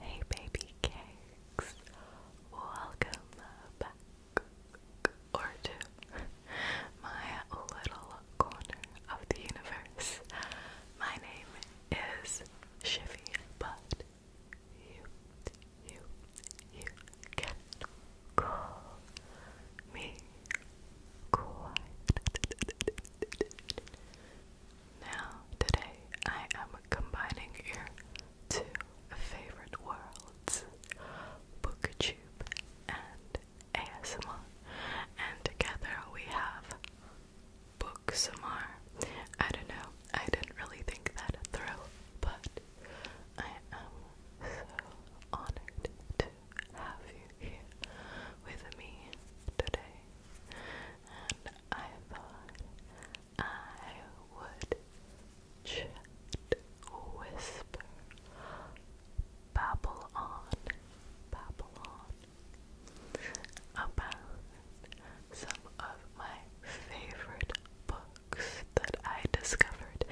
Hey, baby cakes, welcome back or to my little corner of the universe. My name is Shifty Butt you, you, you can call me quiet. Now, today I am combining your two favorite worlds, BookTube and ASMR, and together we have book some more. I don't know. I didn't really think that through, but I am so honored to have you here with me today. And I thought I would chat, whisper, babble on, babble on about some of my favorite books that I discovered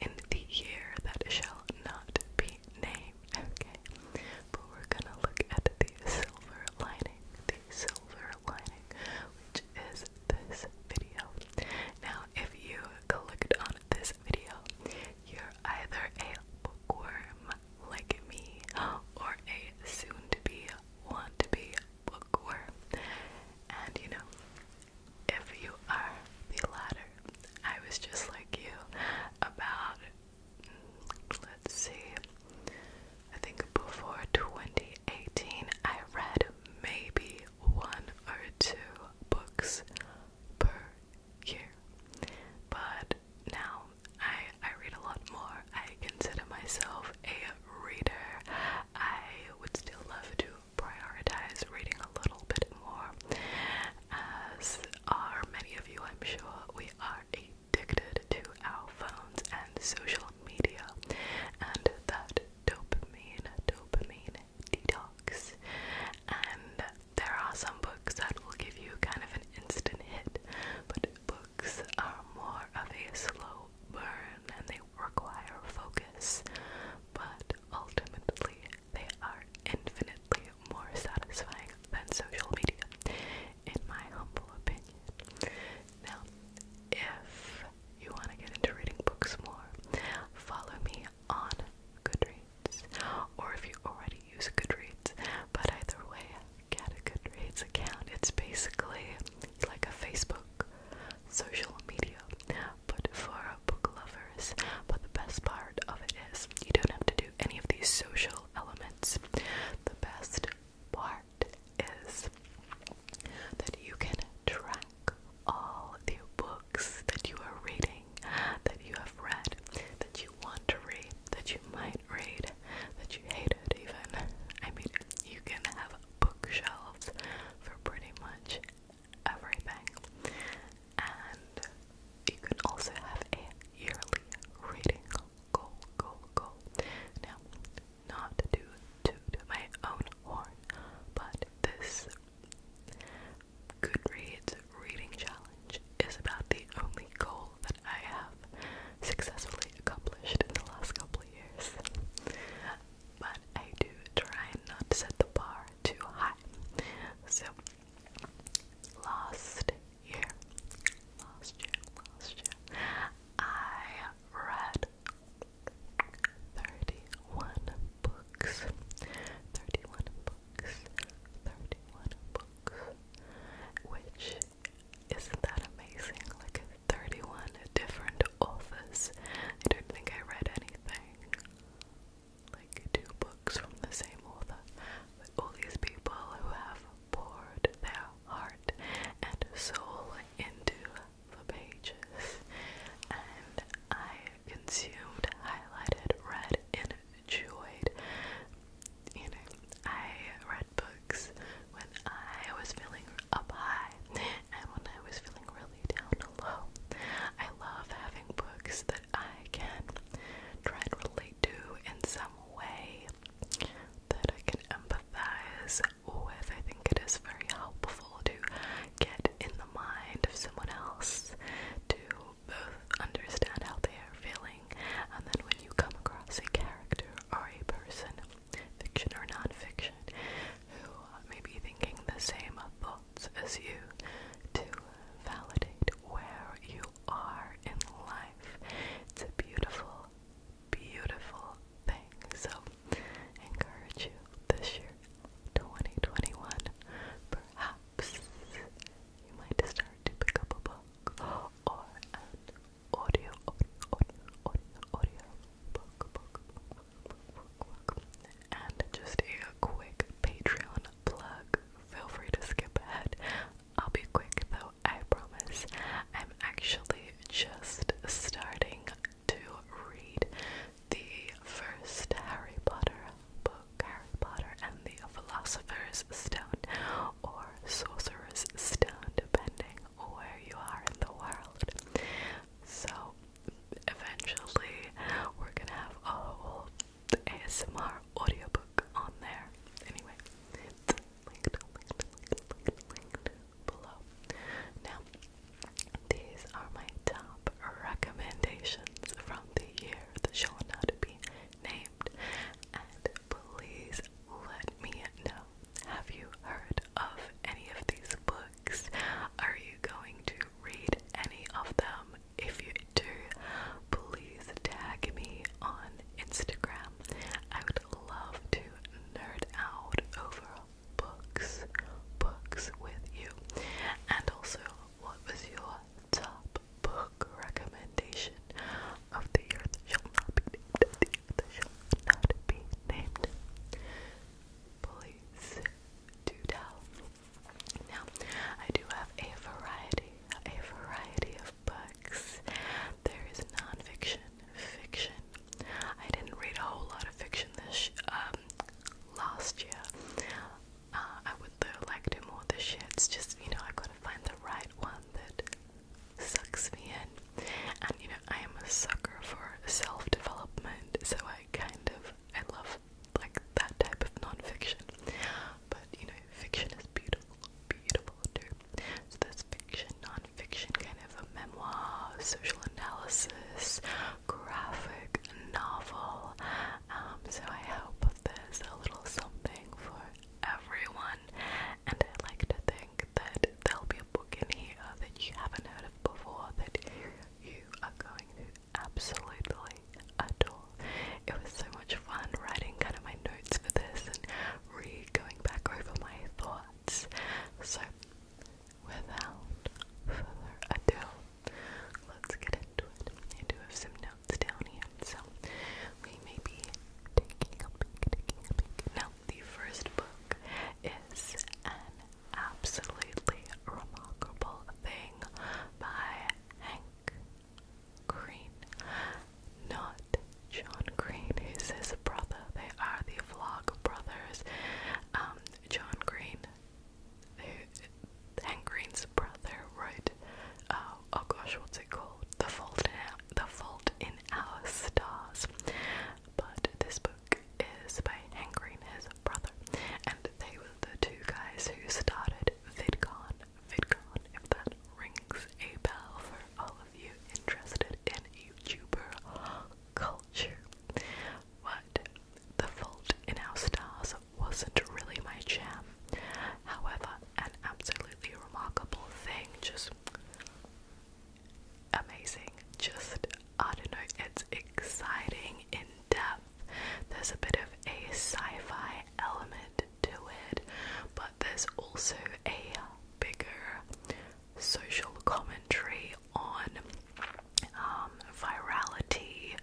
in the year that shall not be named. Okay, but we're gonna look at the silver lining, the silver lining, which is this video. Now, if you clicked on this video, you're either a bookworm like me or a soon to be want to be bookworm. And you know, if you are the latter, I was just like you about, mm, let's see, I think before 2018, I read maybe one or two books per year. But now I I read a lot more. I consider myself a reader. I would still love to prioritize reading a little bit more. As are many of you, I'm sure, we are addicted to our phones and social media and that dopamine, dopamine detox. And there are some books that will give you kind of an instant hit, but books are more of a slow burn and they require focus, but ultimately they are infinitely more satisfying than social media, in my humble opinion. Now, if you want to get into reading books more, follow me on Goodreads, or if you already use Goodreads, but either way, get a Goodreads account. It's basically like a Facebook social media, but for book lovers. But the best part of it is you don't have to do any of these social elements. The best part is that you can track all the books that you are reading, that you have read, that you want to read, that you might can't read, that you hated even. I mean, you can have bookshelves for pretty much everything. And you can also have a yearly reading goal, goal, goal. Now, not to toot my own horn, but this Goodreads reading challenge is about the only goal that I have successfully accomplished in the last couple of years. But I do try not to set the bar too high. So, last year, last year, last year, I read 31 books. 31 books. 31 books. Which isn't that amazing? Like 31 different authors. I don't think I read anything like two books from the same author. But all these people who have poured their heart and soul into the pages. And I consumed, highlighted, read, enjoyed you know, I read books when I was feeling up high and when I was feeling really down low. I love having books that I can try and relate to in some way that I can empathize with. I think it is very helpful to get in the mind of someone else to both understand how they are feeling and then when you come across a character or a person, fiction or non-fiction, who may be thinking the same thoughts as you, to validate where you are in life. It's a beautiful, beautiful thing. So, encourage you this year, 2021. Perhaps you might start to pick up a book or audio, audio, audio, audio book, book, book, book, book. And just a quick Patreon plug. Feel free to skip ahead. I'll be quick though, I promise. I'm actually just starting to read the first Harry Potter book, Harry Potter and the Philosopher's Stone, Sorcerer's Stone, depending where you are in the world. So, eventually, we're gonna have a whole ASMR audiobook on there. Anyway, it's linked, below. Now, these are my top recommendations from the year that shall not be named. And please let me know. Have you heard of any of these books? Are you going to read any of them? If you do, please tag me on Instagram. I would love to nerd out over books, books with you. And also, what was your top book recommendation of the earth shall not be named, Please do tell. Now, I do have a variety, a variety of books. There is nonfiction, fiction. I didn't read a whole lot of fiction this um, last year. Uh, I would like to more this year. It's just you know I gotta find the right one that sucks me in. And you know, I am a sucker for self development, so I kind of I love like that type of nonfiction. But you know, fiction is beautiful, beautiful too. So there's fiction, nonfiction, kind of a memoir, social analysis, graphic novel. Um, so I hope there's a little something for everyone and I like to think that there'll be a book in here that you haven't heard of before that you are going to absolutely adore. It was so much fun writing kind of my notes for this and re going back over my thoughts. So, without further ado, let's get into it. I do have some down here. So we may be taking a peek, taking a peek. Now, the first book is an absolutely remarkable thing by Hank Green. Not John Green, who's his brother. They are the Vlog brothers. Um, John Green, Hank Green's brother, wrote uh, oh gosh, what's it called? The Fault in Our, The Fault in Our Stars. But this book is by Hank Green, brother, and they were the two guys who started VidCon. VidCon, if that rings a bell for all of you interested in YouTuber culture. But The Fault in Our Stars wasn't really my jam. However, an absolutely remarkable thing, just amazing, just I don't know, it's exciting in depth. There's a bit of a sci fi element to it, but there's also a bigger social commentary on um, virality,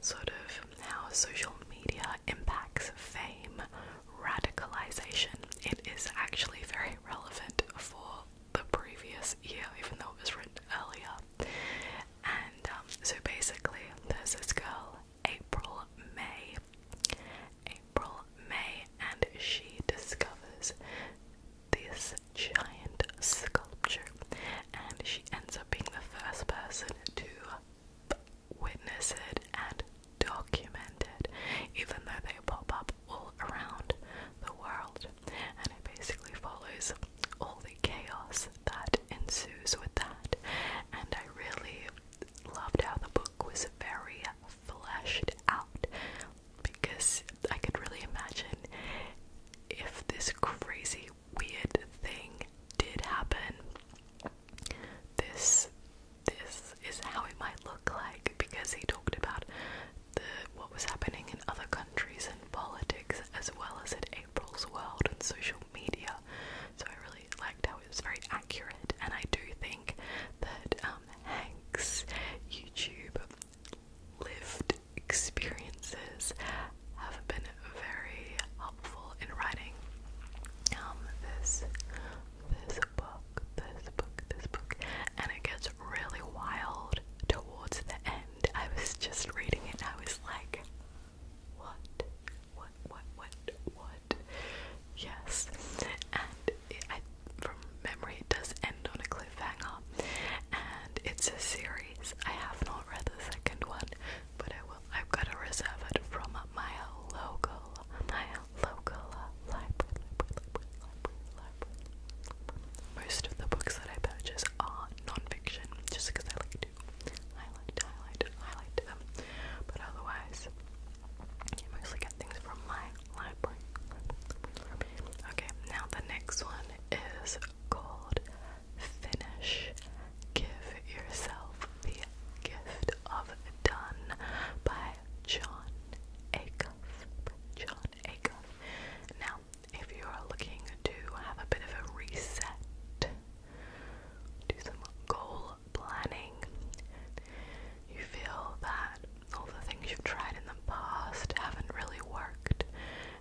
sort of how social media impacts fame, radicalization. It is actually very relevant for the previous year, even though it was written earlier. And um, so basically, there's this girl, April May. April May, and she discovers this giant sculpture, and she ends up being the first person to Witnessed it, and documented, even though they pop up all around the world. And it basically follows all the chaos that ensues with that. And I really loved how the book was very fleshed out because I could really imagine if this crazy, weird thing did happen this this is how it might look like because he talked about the what was happening in other countries and politics as well as in April's world and social media. So I really liked how it was very accurate and I do think that um, Hank's YouTube lived experiences have been very in writing um, this this book, this book, this book, and it gets really wild towards the end. I was just reading it and I was like, what? What, what, what, what? Yes. And from memory, it does end on a cliffhanger. And it's a series. I have not read the second one, but I will. I've got to reserve it from my local, my local library, Most of the books that I purchase are nonfiction, just because I like to highlight, highlight, highlight them. But otherwise, I mostly get things from my library. Okay, now the next one is called Finish Give Yourself the Gift of Done by John Acuff. John Acuff. Now, if you are looking to have a bit of a reset, do some goal planning, you feel that all the things you've tried in the past haven't really worked,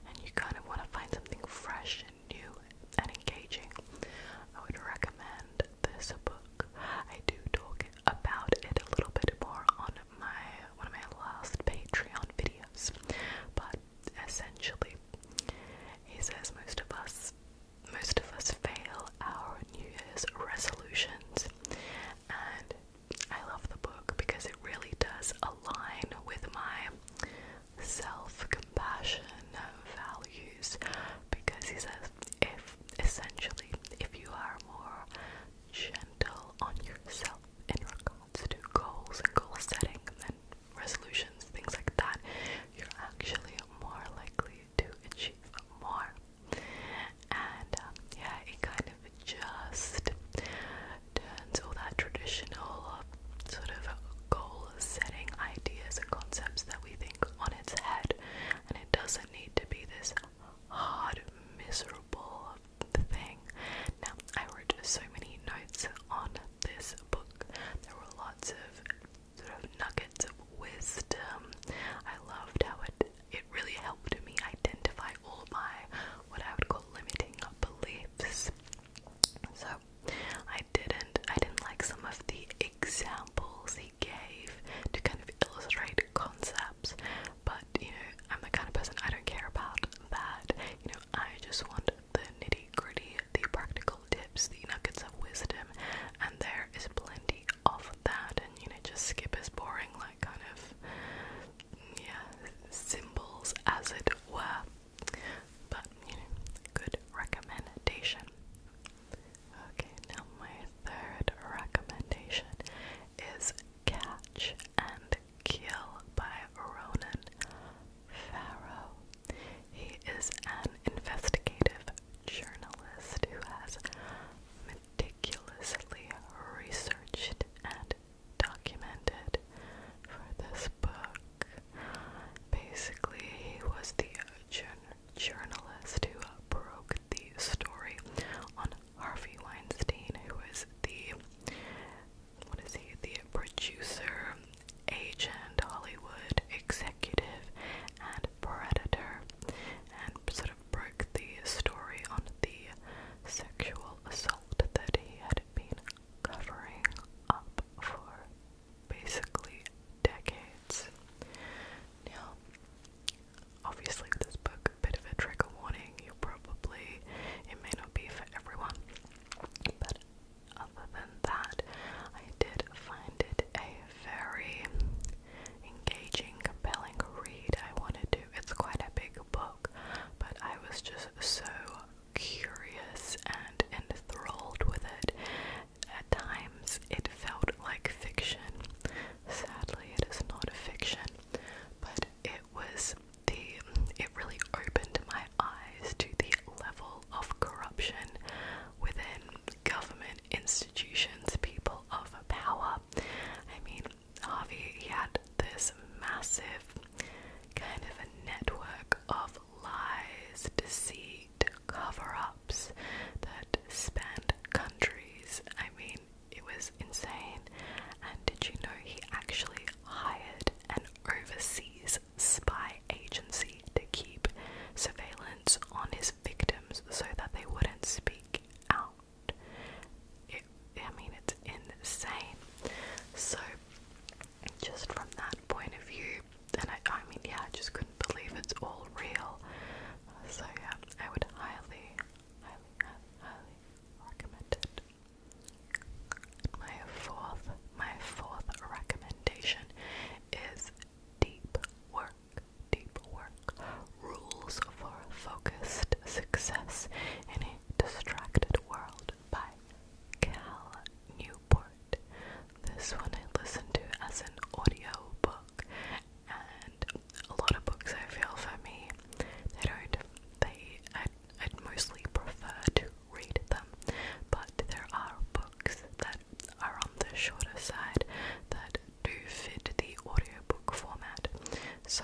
and you kind of want to find something fresh and new and engaging, I would recommend this book. I do talk about it a little bit more on my one of my last Patreon videos, but essentially, he says most of us, most of us fail our New Year's resolutions, and I love the book because it really does align with my self-compassion values. Because he says if essentially if you are more gentle on yourself in regards to goals and goal setting and resolutions, things like that, you're actually more likely to achieve more. And um, yeah, it kind of just turns all that traditional uh, sort of goal setting ideas and concepts that we think on its head, and it doesn't need to be this hard, miserable thing. Now, I wrote so many notes on this book. There were lots of sort of nuggets of wisdom. I loved how it it really helped me identify all my what I would call limiting beliefs. So I I didn't. I didn't like some of the examples he gave to kind of illustrate concepts, but you know, I'm the kind of person I don't care about that. You know, I just want the nitty gritty, the practical tips, the nuggets of wisdom, and there is plenty of that. And you know, just skip is boring, like kind of, yeah, symbols as it were. But you know, good recommendation. Okay, now my third recommendation is Catch and Kill by Ronan Farrow. He is an investigative journalist who has meticulously researched and documented for this book. Basically, he was the journal journalist who broke the story on Harvey Weinstein, who is the what is he? The producer, agent, Hollywood executive, and predator, and sort of broke the story on the sexual assault that he had been covering up for basically decades. Now, obviously, this book, a bit of a trigger warning, you probably, it may not be for everyone, but other than that, I did find it a very engaging, compelling read. I wanted to, it's quite a big book, but I was just so curious and enthralled with it at times it felt like fiction. Sadly, it is not a fiction, but it was the it really opened my eyes to the level of corruption within government institutions, people of power. I mean, Harvey had this massive kind of a network of lies, deceit, cover ups that spanned countries. I mean, it was insane. And did you know he actually hired an overseas spy agency to keep surveillance on his victims so that they wouldn't speak out? It, I mean, it's insane. So, just from that point of view, and I, I mean, yeah, I just couldn't believe it's all real. So yeah, I would highly, highly, highly, highly recommend it. My fourth, my fourth recommendation is deep work. Deep work rules for focused success in a distracted world by Cal Newport. This one I listened to as an audio book, and a lot of books I feel for me, they don't, they, i i mostly prefer to read them, but there are books that are on the shorter side that do fit the audio book format. So,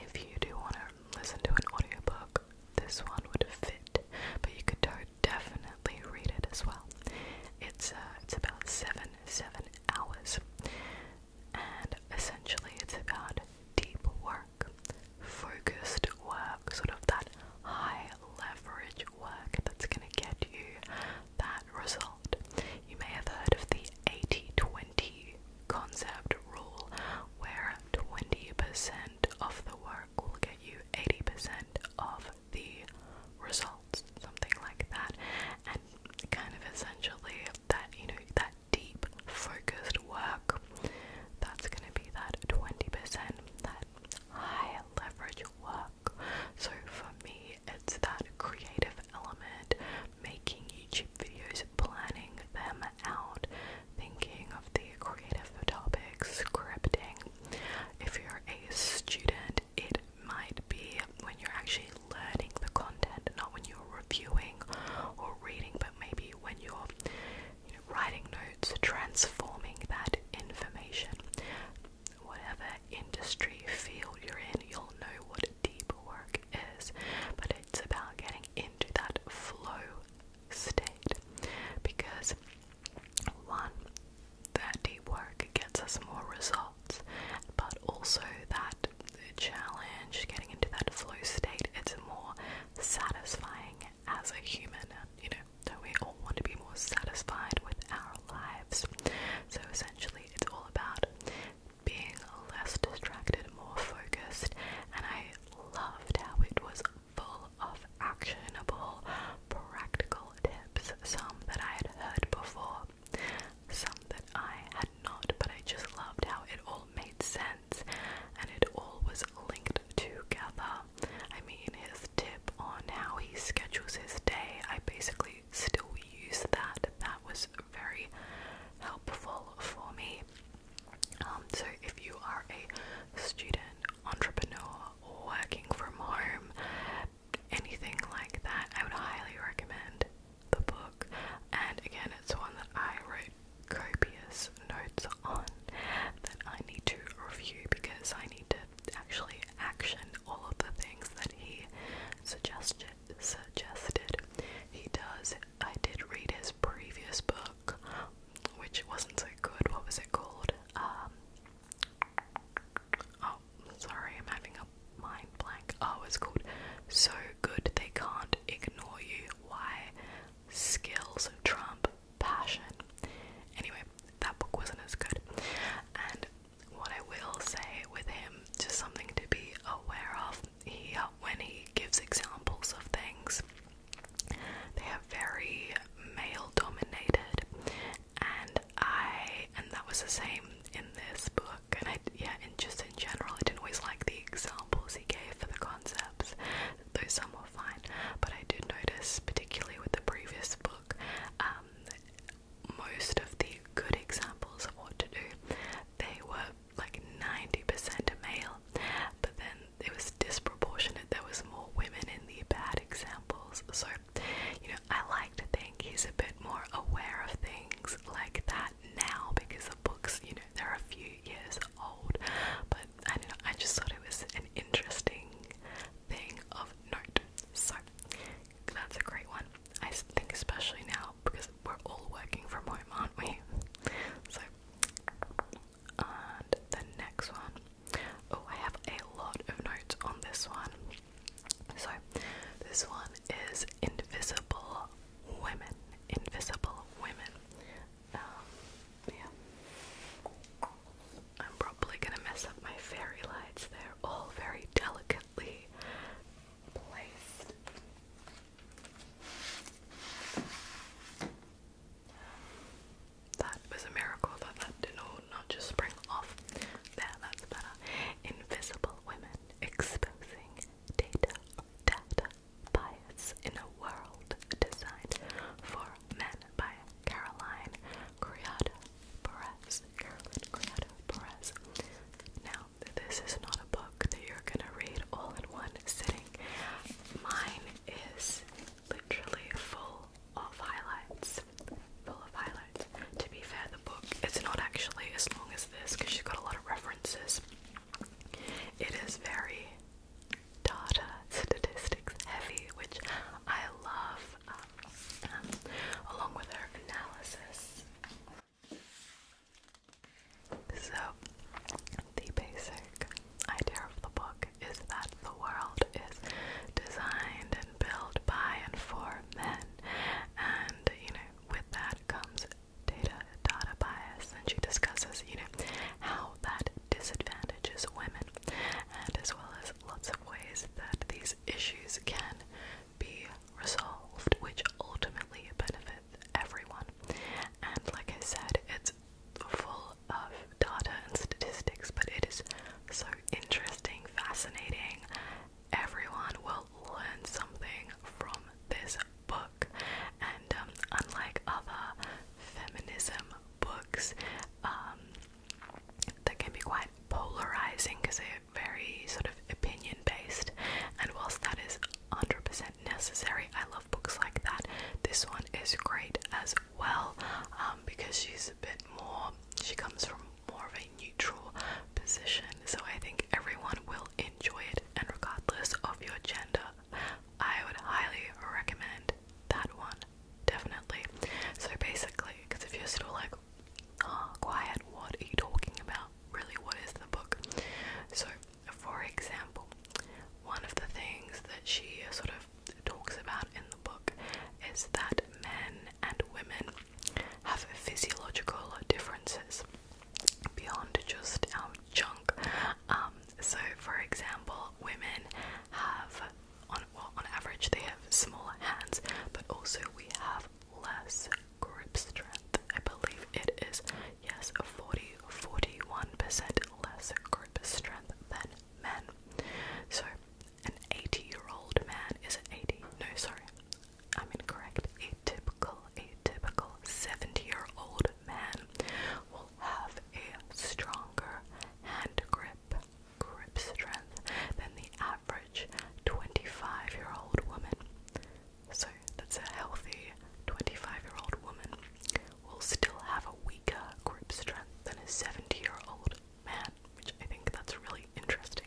if you do want to listen to an audio book, this one would fit, but you could definitely read it as well. It's uh, it's about seven seven hours, and essentially it's about deep work, focused work, sort of that high leverage work that's going to get you that result. You may have heard of the 80-20 concept rule, where 20% of the work will get you 80% of the results, something like that. And kind of essentially that, you know, that deep focused work, that's gonna be that 20%, that high leverage work. So for me, it's that creative element, making YouTube videos, planning them out, thinking of the creative of topics, scripting. If you're a student, it might be when you're actually learning the content, not when you're reviewing or reading, but maybe when you're writing notes, transforming that information. Whatever industry field you're in, you'll know what deep work is, but it's about getting into that flow state because one, that deep work gets us more results, but also that the challenge, getting into that flow state, it's more satisfying as a human. You know, don't we all want to be more satisfied with our lives? So essentially, it's all about being less distracted, more focused, and I loved how it was full of actionable, practical tips. Some that I had heard before, some that I had not, but I just loved how it all made sense and it all was linked together. I mean, his tip on how he schedules his day, I basically still use that. That was very helpful for me. Um, so, if you are a student, entrepreneur, working from home, anything like that, I would highly recommend the book. And again, it's one that I wrote copious notes on that I need to review because I need to actually action all of the things that he suggested. Suggested he does. I did read his previous book which wasn't so good. What was it called? Um, oh, sorry, I'm having a mind blank. Oh, it's called So Good They Can't Ignore You. Why? Skills Trump Passion. Anyway, that book wasn't as good. And what I will say with him, just something to be aware of, he, when he gives examples of things, they are very male dominated, and I and that was the same in this book. And I yeah, and just in general, I didn't always like the examples he gave for the concepts, though some were fine. But I did notice, particularly with the previous book, um, most of the good examples of what to do, they were like 90% male, but then it was disproportionate. There was more women in the bad examples. So, you know, I like to think he's a bit more aware of things like that now because the books, you know, they're a few years old. But I don't know, I just thought it was an interesting thing of note. So that's a great one. I think especially now because we're all working from home, aren't we? So and the next one Oh, I have a lot of notes on this one. So, this one is Invisible Women. Invisible Women. Um, yeah. I'm probably gonna mess up my fairy lights. They're all very delicately placed. That was a miracle that that did not just spring off. There, that's better. Invisible women exposing data data bias in a world designed for men by Caroline Criado Perez. Caroline Criado Perez. Now, this is not a book that you're gonna read all in one sitting. Mine is literally full of highlights. Full of highlights. To be fair, the book is not actually as long as this because she's got a lot of references. It is very data statistics heavy, which I love, um, along with her analysis. So, the basic idea of the book is that the world is designed and built by and for men, and you know, with that comes data data bias, and she discusses you know how that disadvantages women, and as well as lots of ways that these issues can be resolved, which ultimately benefits everyone. And like I said, it's full of data and statistics, but it is so interesting, fascinating. Everyone will learn something from this book, and um, unlike other feminism books, um, that can be quite polarizing because they're very sort of opinion based, and whilst that is 100% necessary, I love books like that. This one is great as well um, because she's a bit more, she comes from more of a neutral position. So I think everyone will enjoy it, and regardless of your gender, I would highly recommend that one, definitely. So basically, because if you're still like, ah, quiet, what are you talking about? Really, what is the book? So, for example, one of the things that she sort of talks about in the book is that men and women have physiological differences beyond just our junk. Um, so, for example, women have, on, on average, they have smaller hands, but also we have less grip strength. I believe it is, yes, 40 41% less grip strength than men. So an 80-year-old man is 80. No, sorry, I'm incorrect. Atypical, atypical. 70-year-old man will have a stronger hand grip, grip strength than the average 25-year-old woman. So that's a healthy 25-year-old woman will still have a weak weaker grip strength than a 70 year old man, which I think that's really interesting.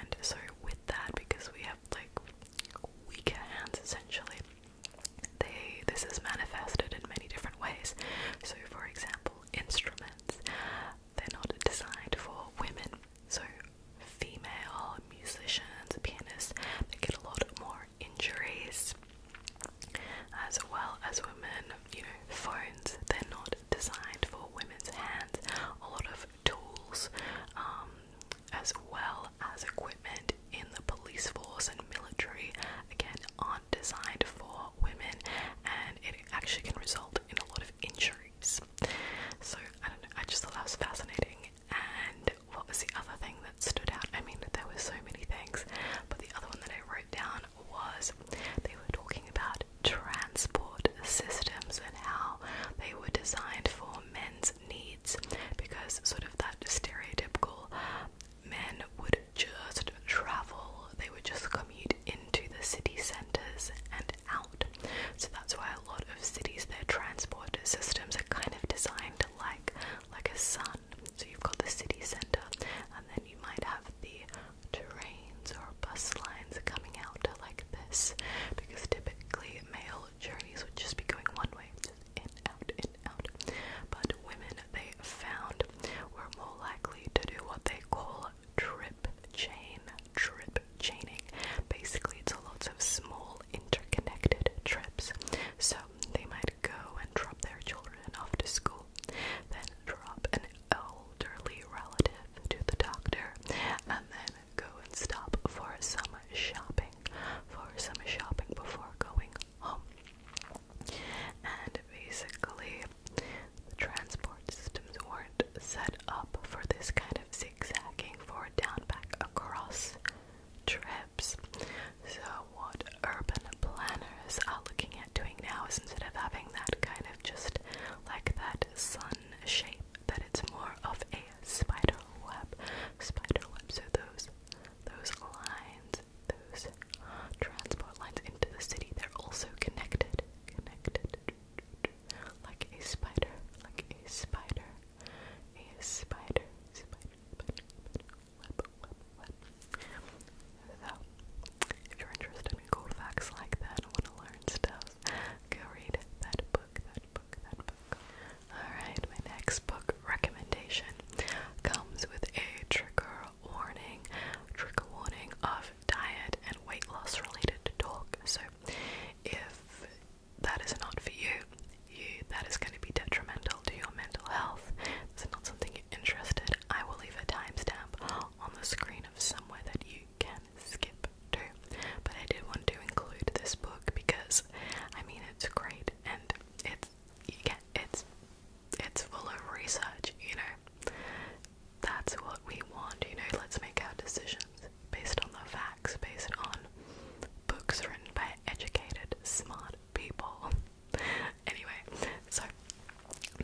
And so, with that, because we have like weaker hands essentially, they this is manifested in many different ways. So, for example, instruments they're not designed for women, so female musicians, pianists, they get a lot more injuries as well as women. You know, phones, they're not designed for women's hands. A lot of tools, um, as well as equipment in the police force and military, again, aren't designed for women and it actually can result in a lot of injuries. So, I don't know, I just thought that was fascinating. And what was the other thing that stood out. I mean, there were so many things, but the other one that I wrote down was they were talking about transport systems and how they were designed for men's needs because, sort of, that stereotypical men would just travel, they would just commute into the city centres and out. So that's why a lot of cities, their transport systems are kind of designed like like a sun. So you've got the city centre, and then you might have the trains or bus lines coming out like this, because typically male journeys would just be going one way, just in, out, in, out. But women, they found, were more likely to do what they call trip chain, trip chaining. Basically, it's a lot of small interconnected trips. So they might go and drop their children off to school, then drop an elderly relative to the doctor, and then go and stop for some shopping, for some shopping before going home. And basically, the transport systems weren't set up for this kind of zigzagging, for a downback across trip. So, what urban planners are looking at doing now is instead of having that kind of just like that sun shape, that it's more of a spider web. Spider webs are those those lines, those transport lines into the city. They're also connected, connected like a spider, like a spider, a spider, spider lip, So, if you're interested in cool facts like that want to learn stuff, go read that book, that book, that book. Alright, my next book recommendation comes with a trigger warning, trigger warning of diet and weight loss related talk. So, if that is not for you, you that is going to be detrimental to your mental health. If it's not something you're interested, I will leave a timestamp on the screen of somewhere that you can skip to. But I did want to include this book because I mean it's great and it's you get it's it's full of research, you know. That's what we want, you know, let's make our decisions based on the facts, based on books written by educated, smart people. anyway, so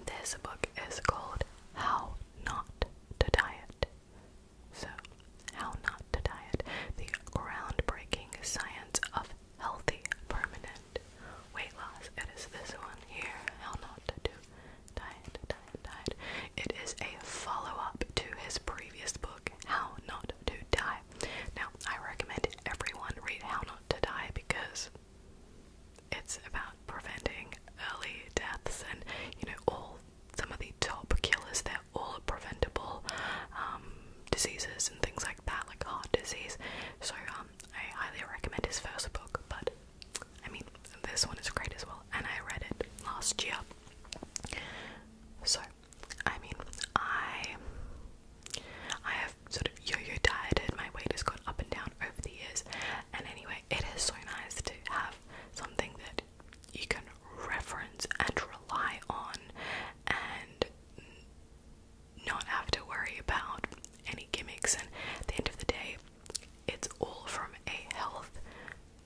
this book is called How Not to Diet. So, How Not to Diet The Groundbreaking Science of Healthy Permanent Weight Loss. It is this one here How Not to Do Diet, Diet, Diet. It is a follow up to his previous book, How Not to Die now, I recommend everyone read How Not to Die because it's about preventing early deaths and, you know, all some of the top killers, they're all preventable um, diseases and things like that, like heart disease. So, um, I highly recommend his first book, but I mean, this one is great as well, and I read it last year. So, I mean, I I have sort of yo-yo dieted. My weight has gone up and down over the years. And anyway, it is so nice to have something that you can reference and rely on and not have to worry about any gimmicks. And at the end of the day, it's all from a health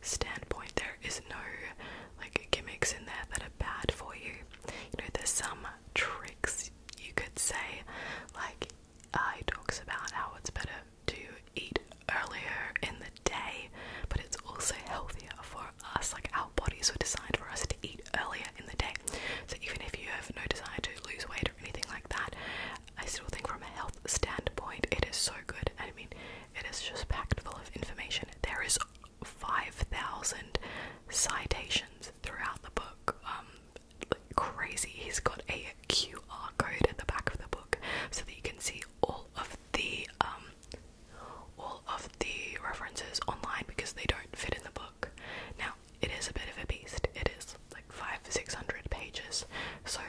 standpoint. There is no like gimmicks in there that are bad for you. You know, there's some tricks, you could say. Like, uh, he talks about how it's better to eat earlier in the day, but it's also healthier for us. Like, our bodies were designed for us to eat earlier in the day. So, even if you have no desire to lose weight or anything like that, I still think from a health standpoint, it is so good. I mean, it is just packed full of information. There is 5,000 citations throughout the book. Um, like crazy. He's got a QR code at the back of the book so that you can see all of the um, all of the references online because they don't fit in the book. Now it is a bit of a beast. It is like five, six hundred pages. So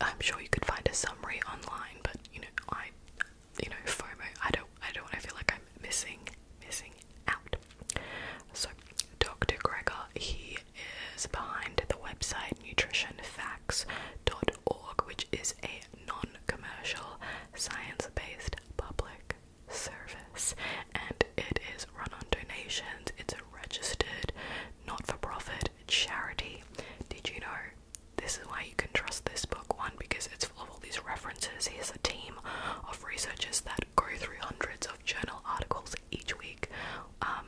I'm sure you could find a summary online, but you know I you know, FOMO. I don't I don't want to feel like I'm missing missing out. So Dr. Gregor, he is behind the website nutritionfacts.org, which is a non-commercial, science-based public service, and it is run on donations. It's a registered, not-for-profit charity. Did you know? This is why you can trust this book one because it's all these references, here's a team of researchers that go through hundreds of journal articles each week, um,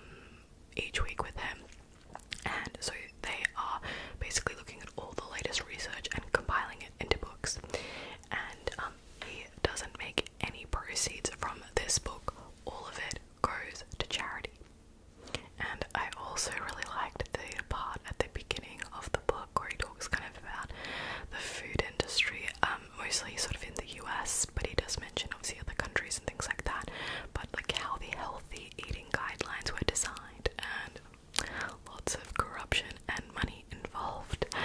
each week with him. And so they are basically looking at all the latest research and compiling it into books. And um, he doesn't make any proceeds from this book, all of it goes to charity. And I also really liked the part at the beginning of the book Corey talks kind of about the food industry, um, mostly sort of in the US, but he does mention obviously other countries and things like that. But like how the healthy eating guidelines were designed, and lots of corruption and money involved.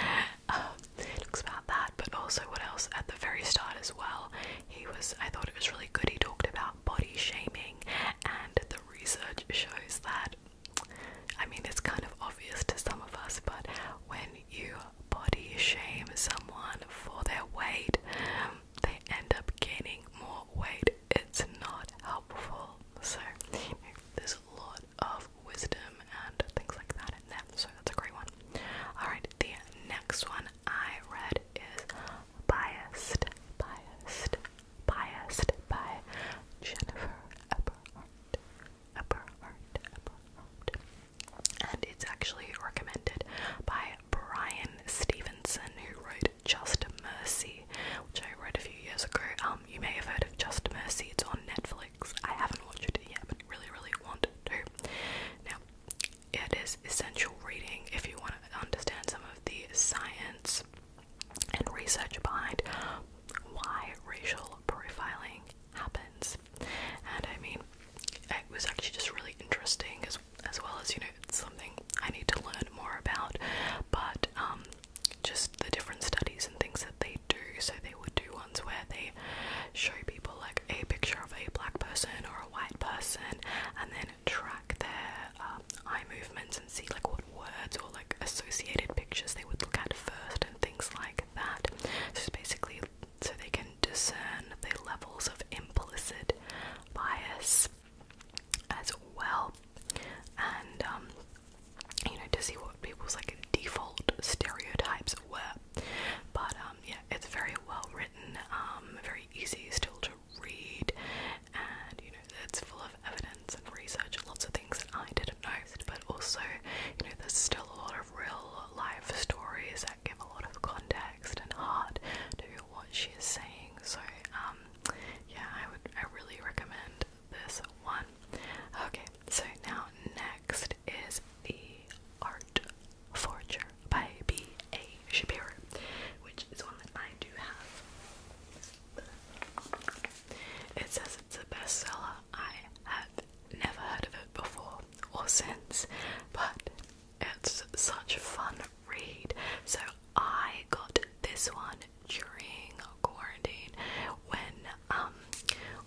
Um, it talks about that, but also what else at the very start as well. He was, I thought it was really good. He talked about body shaming, and the research shows that I mean, it's kind of obvious to some of us, but when you body shame someone for their weight, they end up gaining more weight. It's not helpful. So, there's a lot of wisdom and things like that in there. So, that's a great one. Alright, the next one I read is biased. Biased biased by Jennifer Eberhardt. Eberhardt, Eberhardt. And it's actually recommended by Brian Stevenson, who wrote Just Mercy, which I read a few years ago. Um, you may have heard of Just Mercy, it's on Netflix. I haven't watched it yet, but really, really want to. Now, it is essential reading if you want to understand some of the science and research behind why racial profiling happens. And I mean, it was actually just really interesting as as well as you know it's something I need to learn more about. But um, just the different studies and things that they do. So they would do ones where they show people like a picture of a black person or a white person, and then track their um, eye movements and see like what words or like associated pictures they would look at first and things like that. So basically so they can discern the levels of implicit bias as well, and um, you know to see what people's like default stereotypes were. But um, yeah, it's very well written, um, very easy still to read and you know it's full of evidence and research and lots of things that I didn't know but also you know there's still a lot of real life stories that give a lot of context and heart to what she is saying so um yeah I would I really recommend this one okay so now next is the art forger by B.A. Shapiro which is one that I do have it says it's a bestseller. I have never heard of it before or since, but it's such a fun read. So I got this one during quarantine when um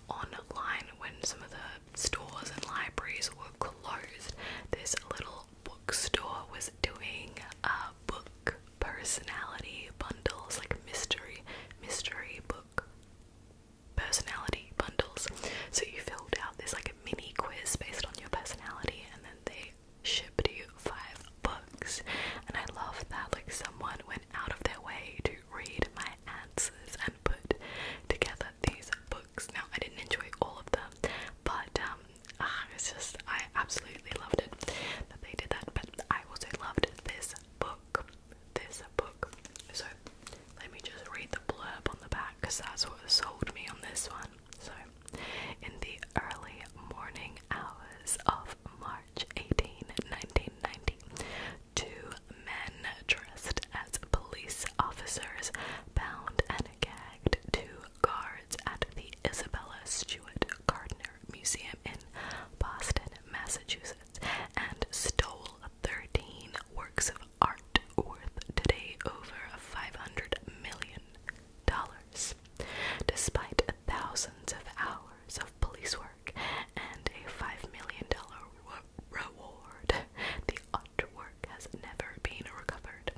online when some of the stores and libraries were closed. This little bookstore was doing a book personality bundles, like mystery, mystery book personality bundles. So you filled out this like a mini quiz based on your personality and then they shipped you five books. And I love that like someone went out of their way to read my answers and put together these books. Now I didn't enjoy all of them, but um ah, it's just I absolutely absolutely loved it that they did that, but I also loved this book. This book. So let me just read the blurb on the back because that's what sold me on this one. So, in the early morning hours of March 18, 1990, two men dressed as police officers bound and gagged two guards at the Isabella Stewart Gardner Museum in Boston, Massachusetts, and stole 13 works of art worth today over $500 million. Despite thousands of hours of police work and a $5 million reward, the artwork has never been recovered.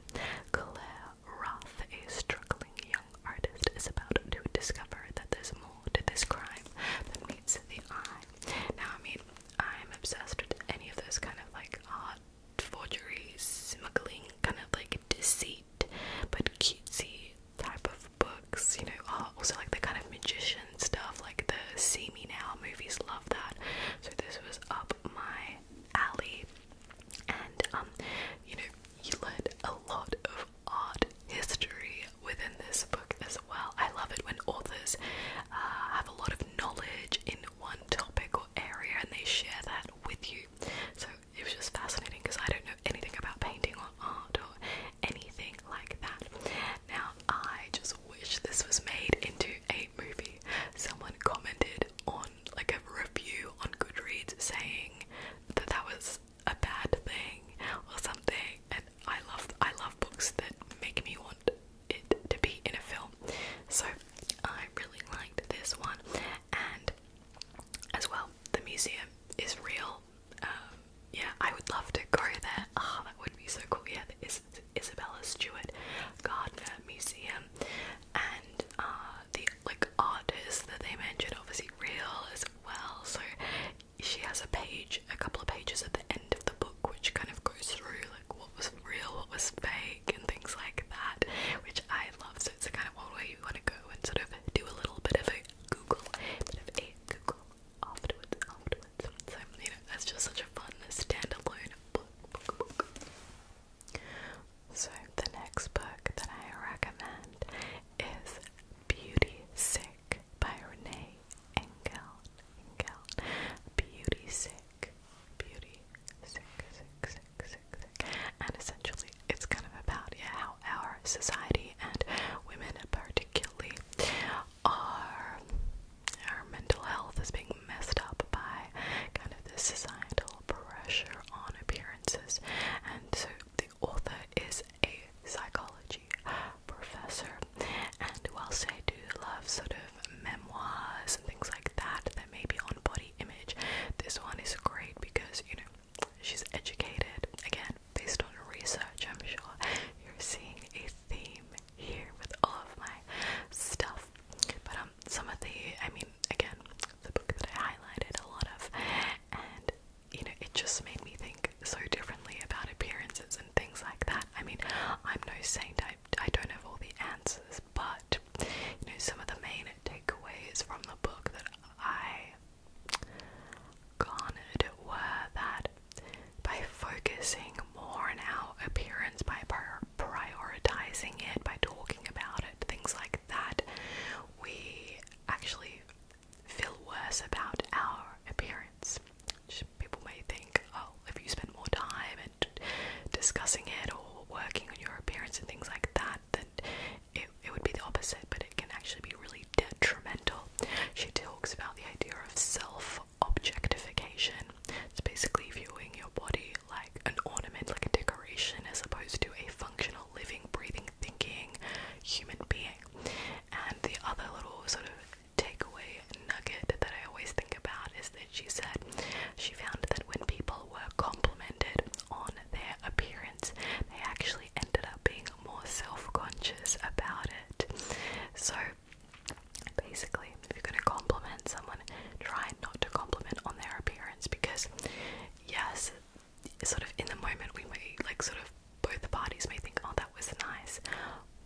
Roth, a struggling young artist, is about to discover that there's more to this crime than meets the eye. Now, I mean, I'm obsessed with any of those kind of like art, forgery, smuggling, kind of like deceit, but cutesy type of books, you know, also like the kind of magician stuff, like the See Me Now movies love that. So, this was up my alley. And um, you know, he led a lot of art history within this book as well. I love it when authors uh, have a lot of knowledge in one topic or area and they share that with you. So it was just fascinating because I don't know anything about painting or art or anything like that. Now, I just wish this was made into a movie. Someone commented on like a review on Goodreads saying that that was a bad thing or something, and I love I love books that make me want it to be in a film. So I really liked this one, and as well, the museum is real. Um, yeah, I would love to go there. Ah, that would be so cool. Yeah, the Is Isabella Stewart Gardner Museum, and uh, the like artists that they mentioned obviously real as well. So she has a page, a couple of pages at the end of the book which kind of goes through like what was real, what was fake and things like that, which I love. So it's the kind of one way you want to go and sort of do a little bit of a Google, a bit of a Google afterwards, afterwards. So you know, that's just such a fun standalone book. So, the next book that I recommend is Beauty Sick by Renee Engel. Beauty Sick. Beauty Sick, Sick, Sick, Sick, And essentially, it's kind of about how our society and women, particularly, are. Our mental health is being messed up by kind of the societal pressure on appearances, and so the author is a psychology professor, and whilst I do love sort of memoirs and things like that that may be on body image, this one is great because you know she's educated again based on research. I'm sure you're seeing a theme here with all of my stuff, but um, some of the I mean, again, the book that I highlighted a lot of and you know, it just made me think so differently about appearances and things like that. I mean, I'm no saint, I, I don't have all the answers, but you know, some of the main takeaways from the book that I garnered were that by focusing more on our appearance, by prioritizing it, by talking about it, things like that, we actually feel worse about our appearance. People may think, oh, if you spend more time discussing it or working on your appearance and things like that, then it, it would be the opposite, but it can actually be really detrimental. She talks about the idea of self objectification. It's basically viewing your body like an ornament, like a decoration, as opposed to a functional living, breathing, thinking human being. And the other little sort of takeaway nugget that I always think about is that she said she found that when people were complimented on their appearance, they actually ended up being more self conscious about it. So basically, if you're going to compliment someone, try not to compliment on their appearance because, yes, sort of in the moment we may like sort of both parties may think oh that was nice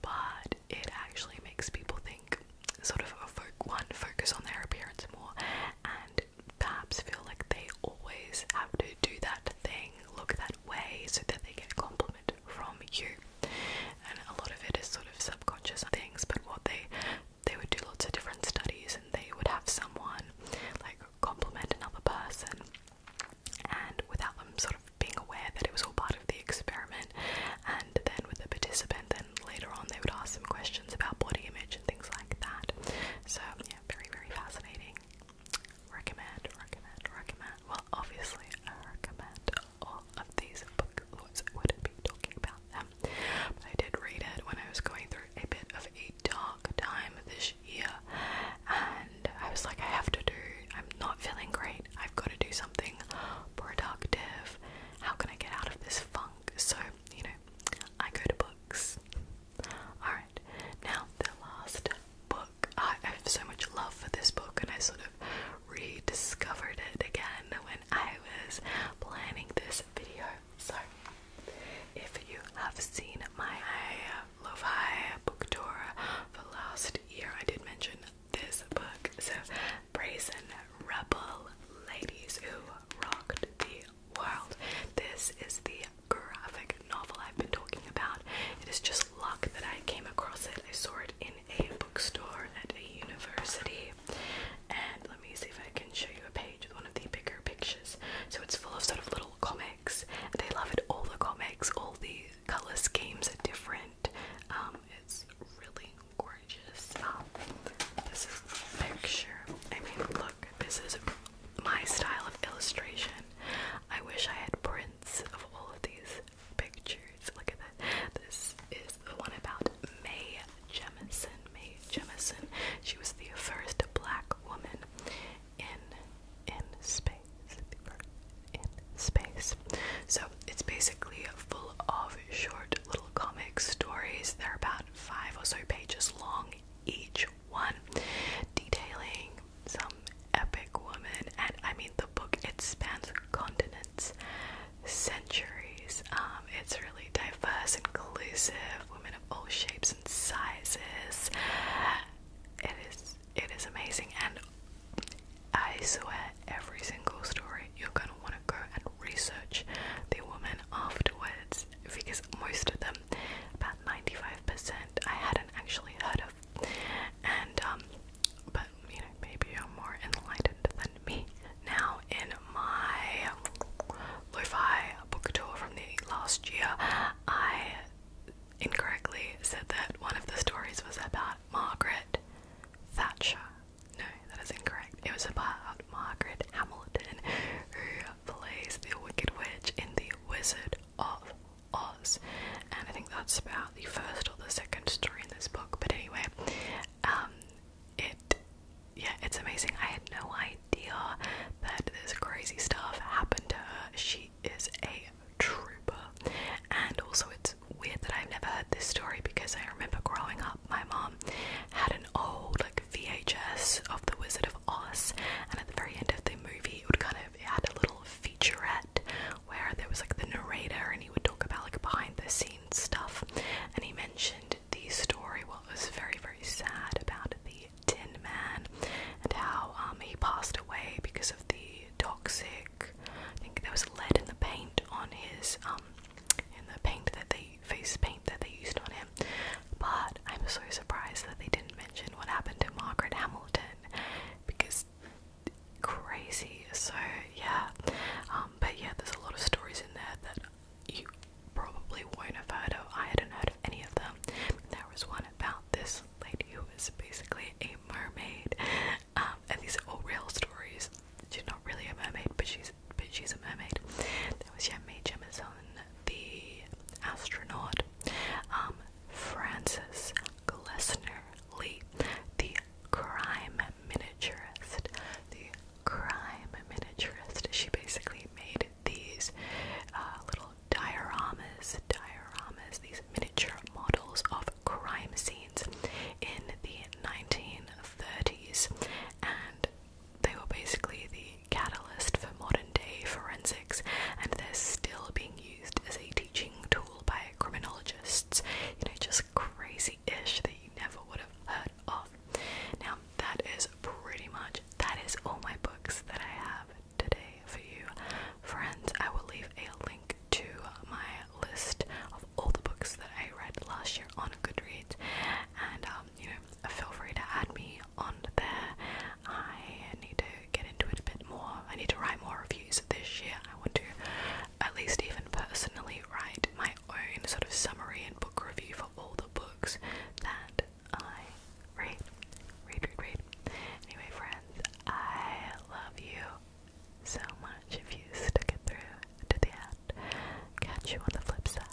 but it actually makes people think sort of one focus on their appearance more and perhaps feel like they always have to do that thing look that way so that they get a compliment from you and a lot of it is sort of subconscious things but what they they would do lots of different studies and they would have someone like compliment another person and without them sort of being aware that it was all part of the experiment and then with the participant then later on they would ask some questions about body image and things like that so yeah very very fascinating recommend recommend recommend well obviously I recommend all of these books would be talking about them I did read it when I was going through a bit of a dark time this year, and I was like, I have to do, I'm not feeling great, I've got to do something productive. How can I get out of this funk? So, you know, I go to books. Alright, now the last book. I have so much love for this book, and I sort of rediscovered it again when I was planning this video. Sorry. If you have seen my Lo-Fi book tour for last year, I did mention this book. So, Brazen Rebel Ladies Who Rocked the World. This is the graphic novel I've been talking about. It is just luck that I came across it. I saw it in a bookstore at a university, and let me see if I can show you a page with one of the bigger pictures. So it's full of sort of little comics. And I love it. All the comics, all the color schemes are different. Um, it's really gorgeous. Um, this is the picture. I mean, look, this is my style of illustration. I wish I had prints of all of these pictures. Look at that. This is the one about May Jemison, Mae Jemison. She was the first black woman in in space. In space. So it's basically full of short little comic stories. They're about five or so pages long each one, detailing some epic woman. And I mean, the book it spans continents, centuries. Um, it's really diverse, inclusive. Women all shapes and sizes. It is it is amazing and I swear every single story you're gonna want to go and research the woman afterwards because most of them, about 95%, I hadn't actually heard of. And um, but you know maybe you're more enlightened than me. Now, in my lo-fi book tour from the last year, I incorrectly said that one of the stories was about Margaret Thatcher. No, that is incorrect. It was about Margaret Hamilton, who plays the Wicked Witch in The Wizard of Oz. And I think that's about the first or the second story in this book. But anyway, um, it yeah, it's amazing. I had no idea that this crazy stuff happened to her. She is a trooper. And also it's weird that I've never heard this story because I remember growing up my mom had an old like VHS of The Wizard of Oz and at the very end of the movie it would kind of it had a little featurette where there was like the narrator and he would talk about like behind the scenes stuff and he mentioned the story, was very, very sad about the Tin Man and how um, he passed away because of the toxic. I think there was lead in the paint on his um, in the paint that they face paint that they used on him. But I'm so surprised that they didn't mention what happened to Margaret Hamilton because crazy. So yeah, um, but yeah, there's a lot of stories in there that you probably won't have heard I hadn't heard of any of them. There was one about this lady who was basically a mermaid. Um, and these are all real stories. She's not really a mermaid, but she's but she's a mermaid. There was Gemma Jemison, the astronaut, um, Francis Glessner Lee, the crime miniaturist, the crime miniaturist. She basically made these uh, little dioramas, dioramas, these miniature models of crime scenes in the 1930s, and they were basically the catalyst for modern day forensics, and they're still being used as a teaching tool by criminologists. You know, just crazy ish that you never would have heard of. Now, that is pretty much that is all my books that I have today for you. Friends, I will leave a link to my list of all the books that I read last year on Goodreads, and um, you know, feel free to add me on there. I need to get into it a bit more. I need to write more reviews this year. I want to, at least even personally, write my own sort of summary and book review for all the books that I read. Read, read, read. Anyway, friends, I love you so much if you stuck it through to the end. Catch you on the flip side.